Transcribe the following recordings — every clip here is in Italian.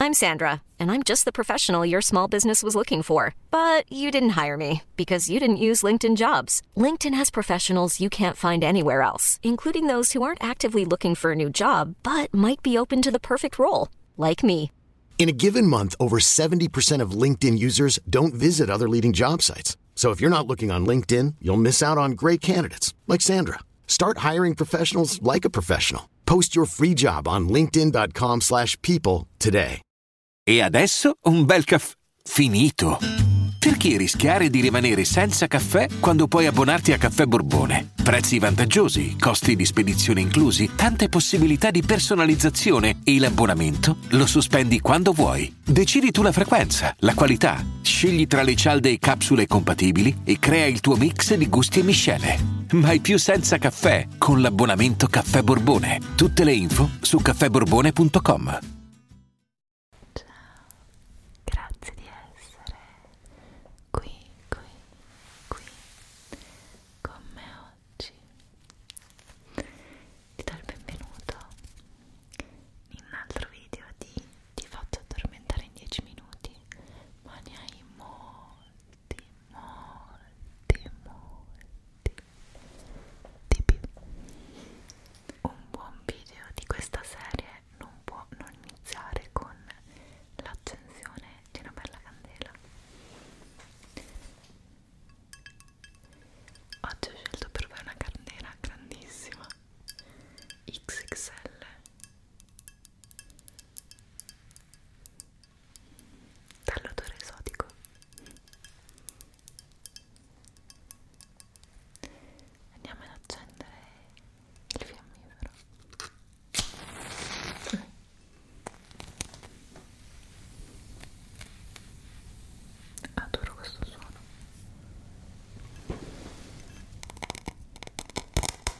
I'm Sandra, and I'm just the professional your small business was looking for. But you didn't hire me because you didn't use LinkedIn jobs. LinkedIn has professionals you can't find anywhere else, including those who aren't actively looking for a new job but might be open to the perfect role, like me. In a given month, over 70% of LinkedIn users don't visit other leading job sites. So if you're not looking on LinkedIn, you'll miss out on great candidates like Sandra. Start hiring professionals like a professional. Post your free job on linkedin.com slash people today. E adesso un bel caffè finito. Perché rischiare di rimanere senza caffè quando puoi abbonarti a Caffè Borbone? Prezzi vantaggiosi, costi di spedizione inclusi, tante possibilità di personalizzazione e l'abbonamento lo sospendi quando vuoi. Decidi tu la frequenza, la qualità, scegli tra le cialde e capsule compatibili sapori e crea il tuo mix di gusti e miscele. Mai più senza caffè con l'abbonamento Caffè Borbone. Tutte le info su caffèborbone.com. Ciao, grazie di essere qui, qui, qui con me oggi. Ti do il benvenuto in un altro video di Ti faccio addormentare in 10 minuti, ma ne hai molti molti, molti di più. Un buon video di questa serie non può non iniziare con l'accensione di una bella candela. Oggi ho scelto per voi una candela grandissima XXL dall'odore esotico andiamo ad accendere il fiammifero adoro questo suono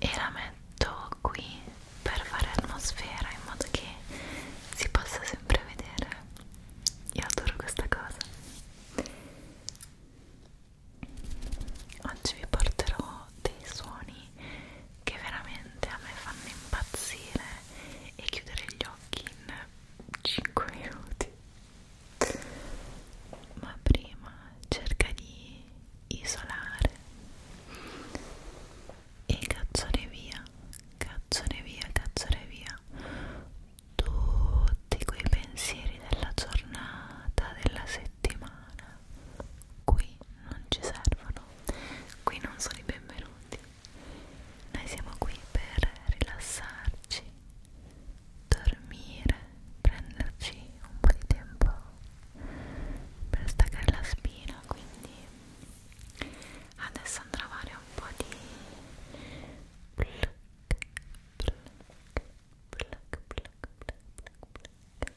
e la metto qui per fare atmosfera in modo che si possa sempre vedere io adoro questa cosa oggi vi porterò dei suoni suoni che veramente a me fanno impazzire e chiudere gli occhi in 5 minuti ma prima cerca di isolare e cacciare via cacciare via cacciare via tutti quei pensieri della giornata della settimana qui non ci servono buongiorno, qui non sono i benvenuti, noi siamo qui per rilassarci, dormire, prenderci un po' di tempo per staccare la spina, quindi adesso andrò a fare un po' di pluck, pluck, pluck, pluck, pluck, pluck, pluck.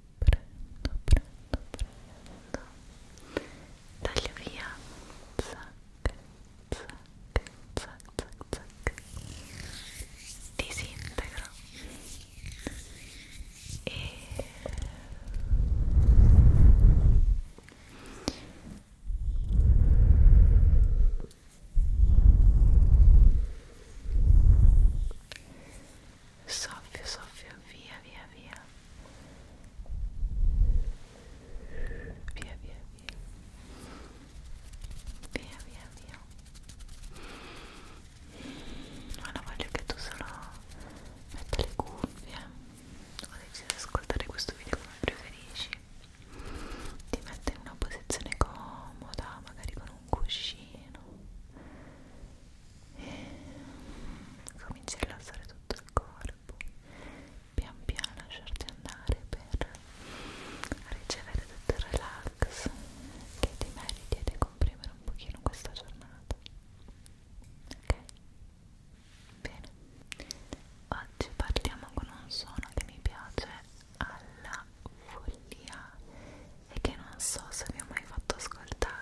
prendo, prendo, prendo taglio via zac, zac, zac, zac, zac disintegro e soffio, soffio, via, via, via, via, via, via, via, via, via. Ora voglio che tu solo metta le cuffie o decidi di ascoltare questo video come preferisci. Ti metto in una posizione comoda, magari con un cuscino cominci a rilassare tutto il corpo pian piano lasciarti andare per ricevere tutto il relax che ti meriti e ti comprimere un pochino questa giornata ok? bene oggi partiamo con un suono che mi piace alla follia e che non so se vi ho mai fatto ascoltare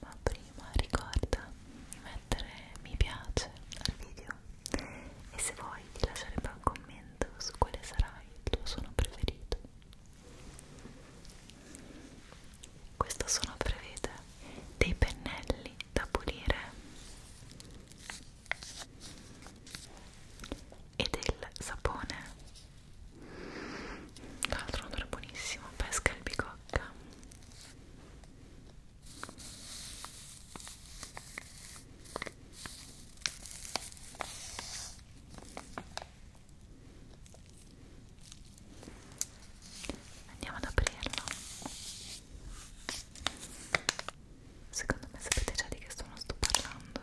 ma prima ricorda di mettere mi piace al video e se vuoi di lasciare poi un commento su quale sarà il tuo suono preferito questo suono prevede dei pennelli da pulire e del sapone tra l'altro un odore buonissimo, pesca e albicocca. Andiamo ad aprirlo. Secondo me sapete già di che stono sto parlando.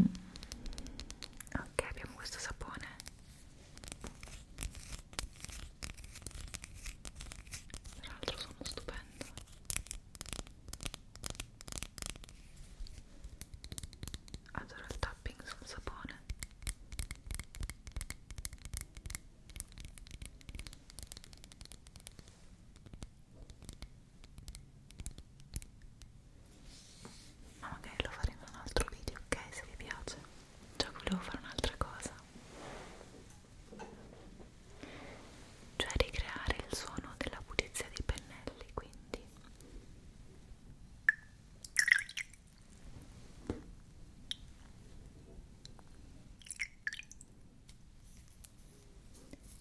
Mm. ok abbiamo questo sapone tra l'altro sono stupendo adoro il tapping sul sapone ma magari lo faremo in un altro video, ok? Se vi piace già volevo fare un'altra cosa cioè ricreare il suono della pulizia dei pennelli quindi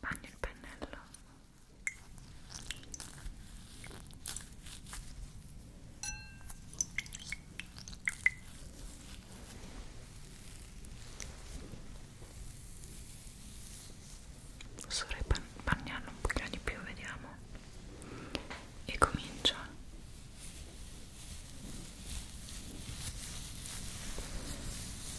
bagno il pennello posso bagnarlo un pochino di più vediamo e comincio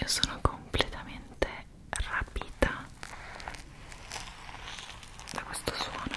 Io sono completamente rapita da questo suono.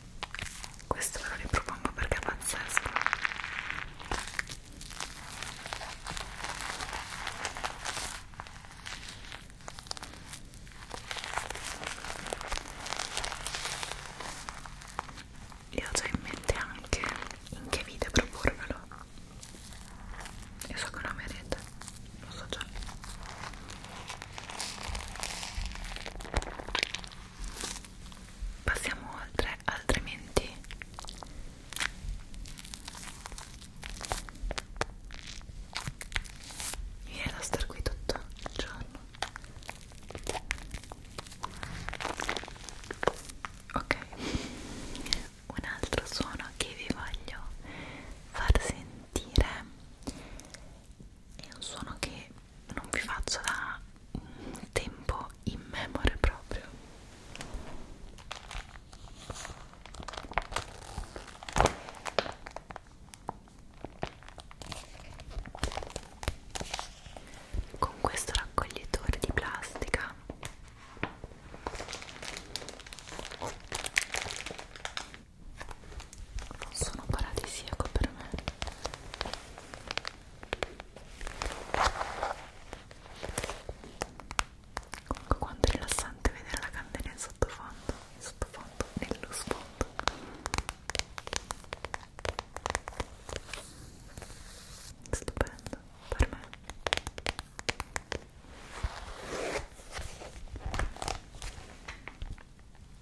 questo ve lo ripropongo perché è pazzesco io ho già in mente anche in che video proporvelo io so che non mi rete lo so già Passiamo oltre, altrimenti mi viene da star qui tutto il giorno. Ok, un altro suono che vi voglio far sentire è un suono che non vi faccio da un tempo immemore proprio con questo raccoglitore di plastica non sono paradisiaco per me comunque quanto è rilassante vedere la candela in sottofondo in sottofondo, nello sfondo stupendo per me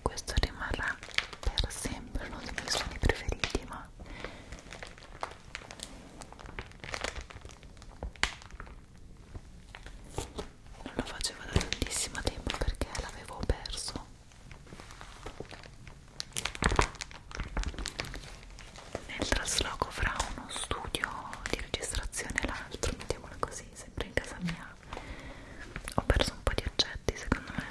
questo rimarrà per sempre uno dei miei suoni preferiti ma non lo facevo da tantissimo tempo perché l'avevo perso nel trasloco fra uno studio di registrazione e l'altro mettiamola così sempre in casa mia ho perso un po' di oggetti secondo me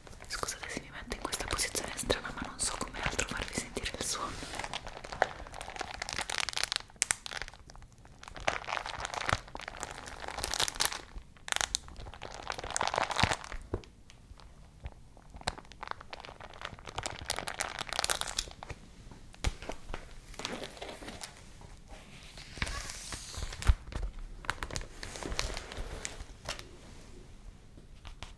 Scusate se mi metto in questa posizione strana, ma non so come altro farvi sentire il suono.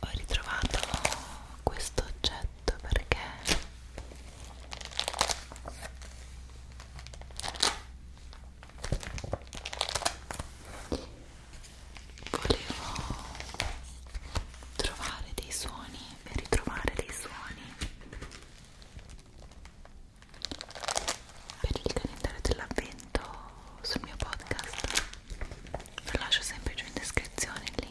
Ho ritrovato questo oggetto perché volevo trovare dei suoni per ritrovare dei suoni per il calendario dell'avvento sul mio podcast lo lascio sempre giù in descrizione il link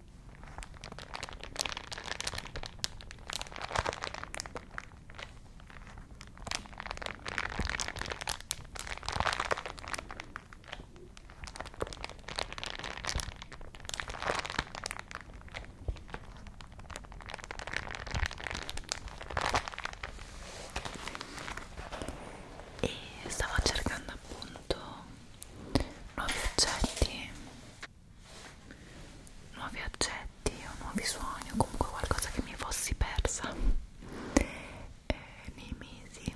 e stavo cercando appunto nuovi oggetti nuovi oggetti o nuovi suoni o comunque qualcosa che mi fossi persa eh, nei mesi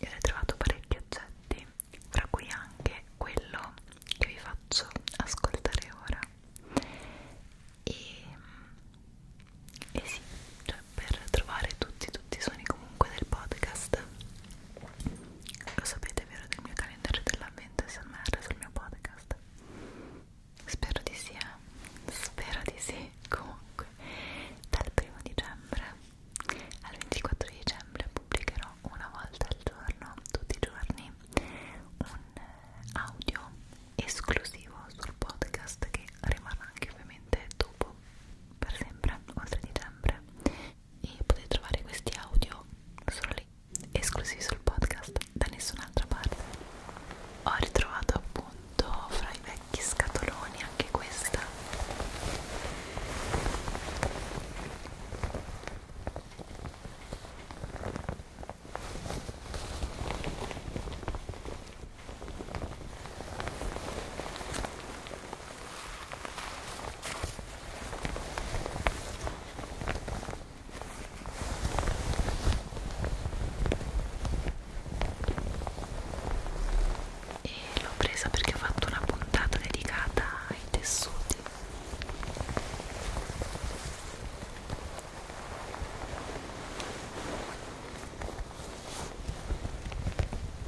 io ho trovato parecchi oggetti tra cui anche quello che vi faccio ascoltare ora e, e sì, cioè per trovare tutti tutti i suoni comunque del podcast lo sapete vero del mio calendario dell'avvento SMR sul mio podcast? Spero di sì, eh? Spero di sì. Comunque, dal primo dicembre al 24 dicembre pubblicherò una volta al giorno, tutti i giorni, un eh, audio esclusivo sul podcast che rimarrà anche ovviamente dopo per sempre, oltre dicembre e potete trovare questi audio solo lì, esclusivi sul podcast, da nessun'altra parte. Ho ritrovato appunto fra i vecchi scatoloni anche questa e l'ho presa perché ho fatto una puntata dedicata ai tessuti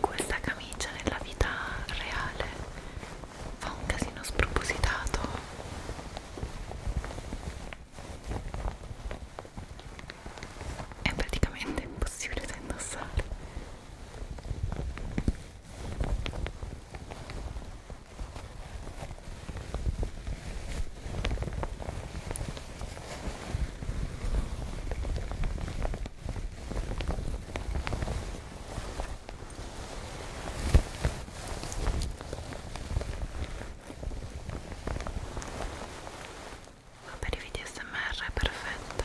Questa camicia nella vita reale fa un casino spropositato. È praticamente impossibile da indossare. Ma per i video smr è perfetta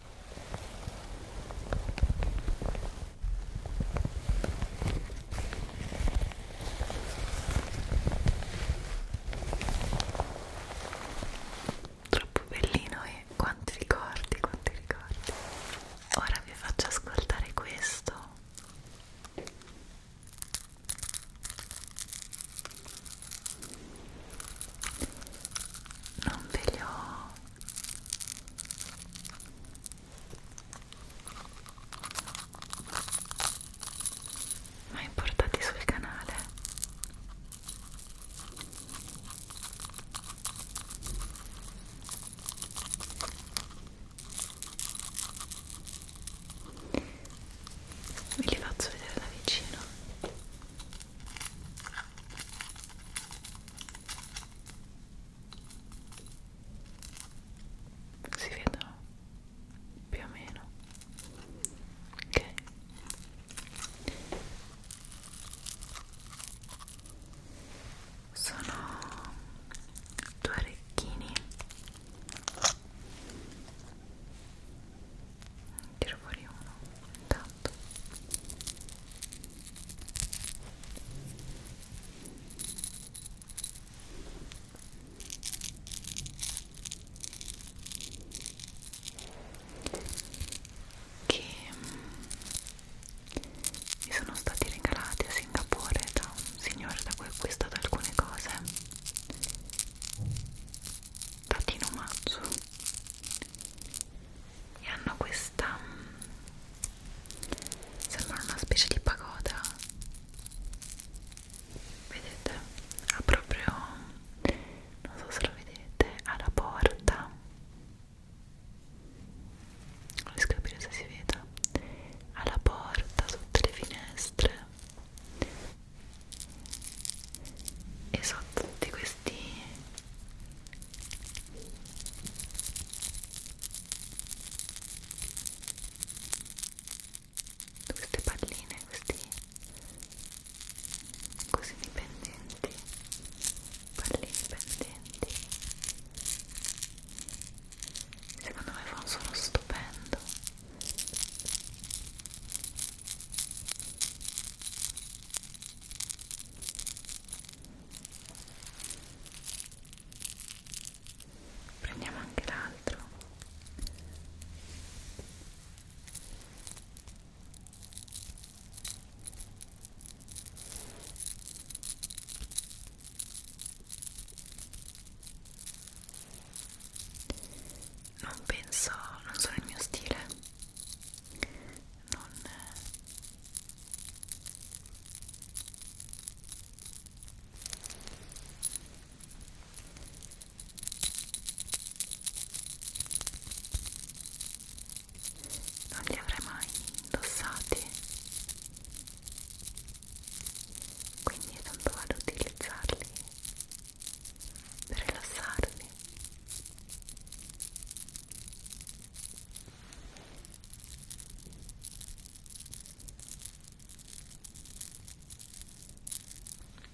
Troppo bellino e eh? quanti ricordi, quanti ricordi. Ora vi faccio ascoltare questo. Non ve li ho ma importati sul canale ve li faccio vedere da vicino si vedono più o meno ok sono due orecchini tiro fuori uno intanto che mm, mi sono stati regalati a Singapore da un signore da cui ho acquistato alcune cose dati in omaggio e hanno questa mm, sembra una specie di pagoda vedete ha proprio non so se lo vedete ha la porta non riesco a capire se si veda ha la porta sotto le finestre e sotto tutti questi queste palline questi così dipendenti palline pendenti secondo me fa un suono stupendo prendiamo anche l'altro non penso, non sono il mio stile non non li avrei mai indossati quindi tanto vado ad utilizzarli per rilassarmi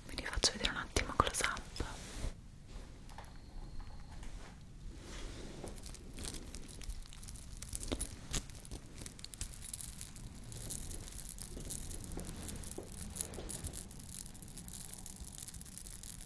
vi rifaccio vedere un attimo close up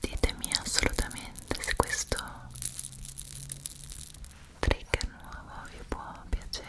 ditemi assolutamente se questo trigger nuovo vi può piacere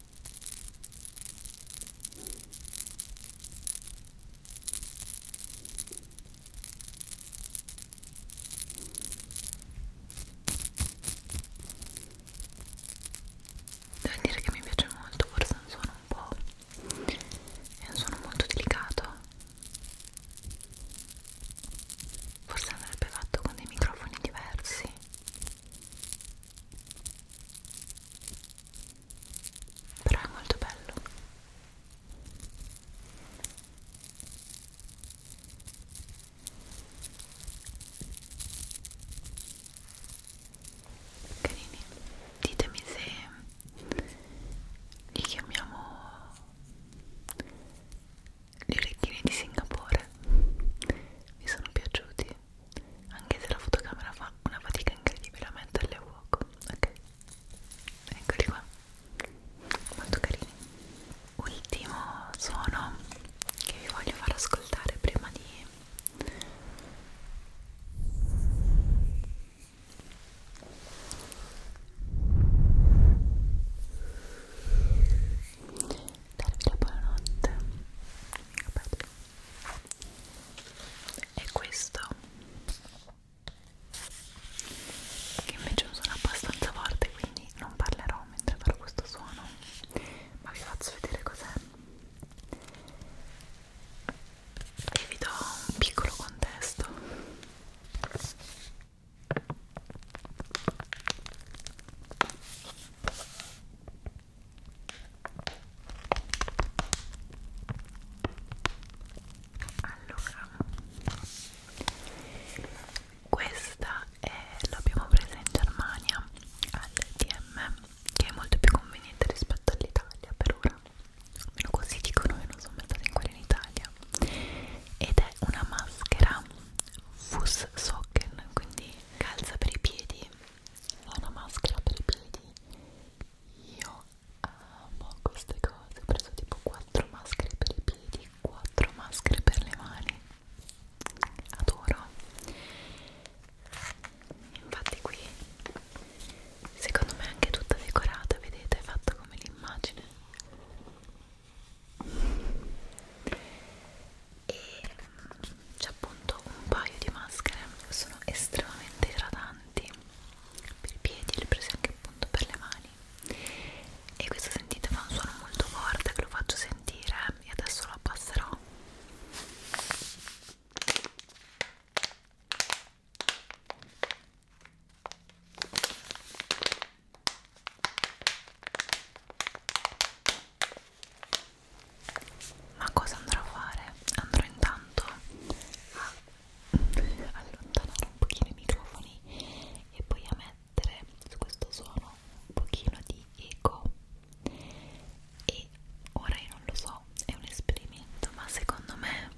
Devo dire che mi piace molto, forse è un suono un po'... è un suono molto delicato. Forse andrebbe fatto con dei microfoni diversi però è molto bello carini ditemi se li chiamiamo gli orecchini di Singapore mi sono piaciuti anche se la fotocamera fa una fatica incredibile a metterle a fuoco ok eccoli qua molto carini ultimo suono che vi voglio far ascoltare prima di darvi la buonanotte Capito? è questo che invece è un suono abbastanza forte quindi non parlerò mentre farò questo suono ma vi faccio vedere cos'è e vi do un piccolo contesto allora questa è l'abbiamo presa in Germania all'EDM che è molto più conveniente rispetto all'Italia per ora almeno così dicono che non sono mai stata in quella in Italia ed è una maschera Fuss Socken quindi calza per i piedi è una maschera per i piedi io amo queste cose ho preso tipo 4 maschere per i piedi 4 maschere per le mani adoro infatti qui secondo me è anche tutta decorata vedete è fatta come l'immagine e mm, c'è appunto un paio di maschere che sono estremamente idratanti per i piedi, le prese anche appunto per le mani e questo sentite fa un suono molto forte che lo faccio sentire e adesso lo abbasserò ma cosa andrò a fare? andrò intanto a allontanare un pochino i microfoni e poi a mettere su questo suono un pochino di eco e ora io non lo so, è un esperimento ma secondo me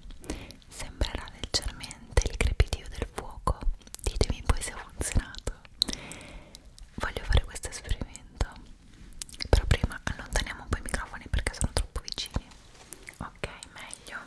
sembrerà leggermente il crepitio del fuoco ditemi poi se ha funzionato voglio fare questo esperimento però prima allontaniamo un po' i microfoni perché sono troppo vicini ok meglio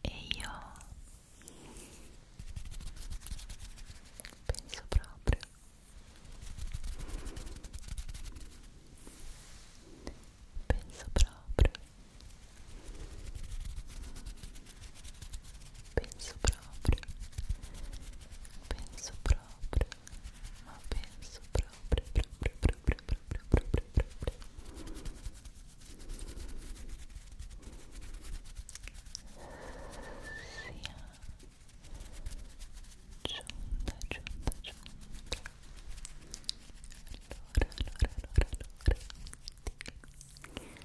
E io penso proprio penso proprio Penso proprio, penso proprio, ma penso proprio, proprio, proprio, proprio, proprio, proprio. Sia giunta, giunta, giunta. Allora, allora, allora, allora. Ti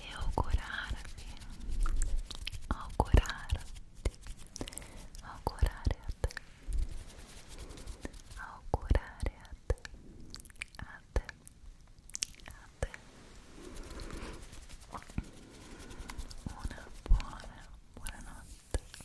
e augurarvi, augurarti, augurare a te, augurare a te, a te, a te, una buona, buonanotte, buona, buonanotte.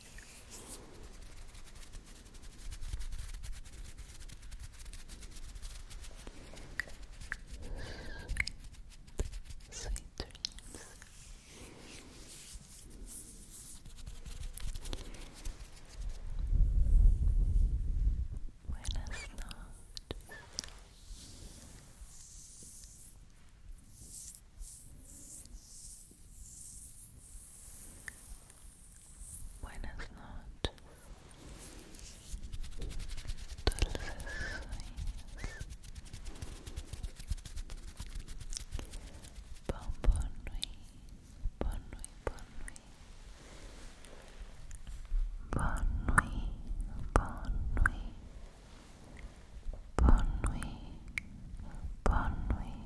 Sweet, sweet dreams. Buenas noches. Buenas noches. Dulces sueños. Bon, bon nuit. Bon nuit, bon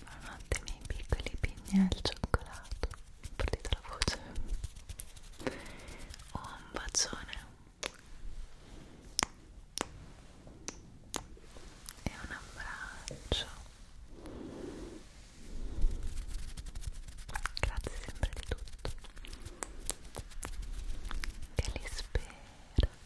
Buonanotte miei piccoli pigni al cioccolato. Partita la voce. Oh, un bacione. E un abbraccio. Grazie sempre di tutto. Che li spero.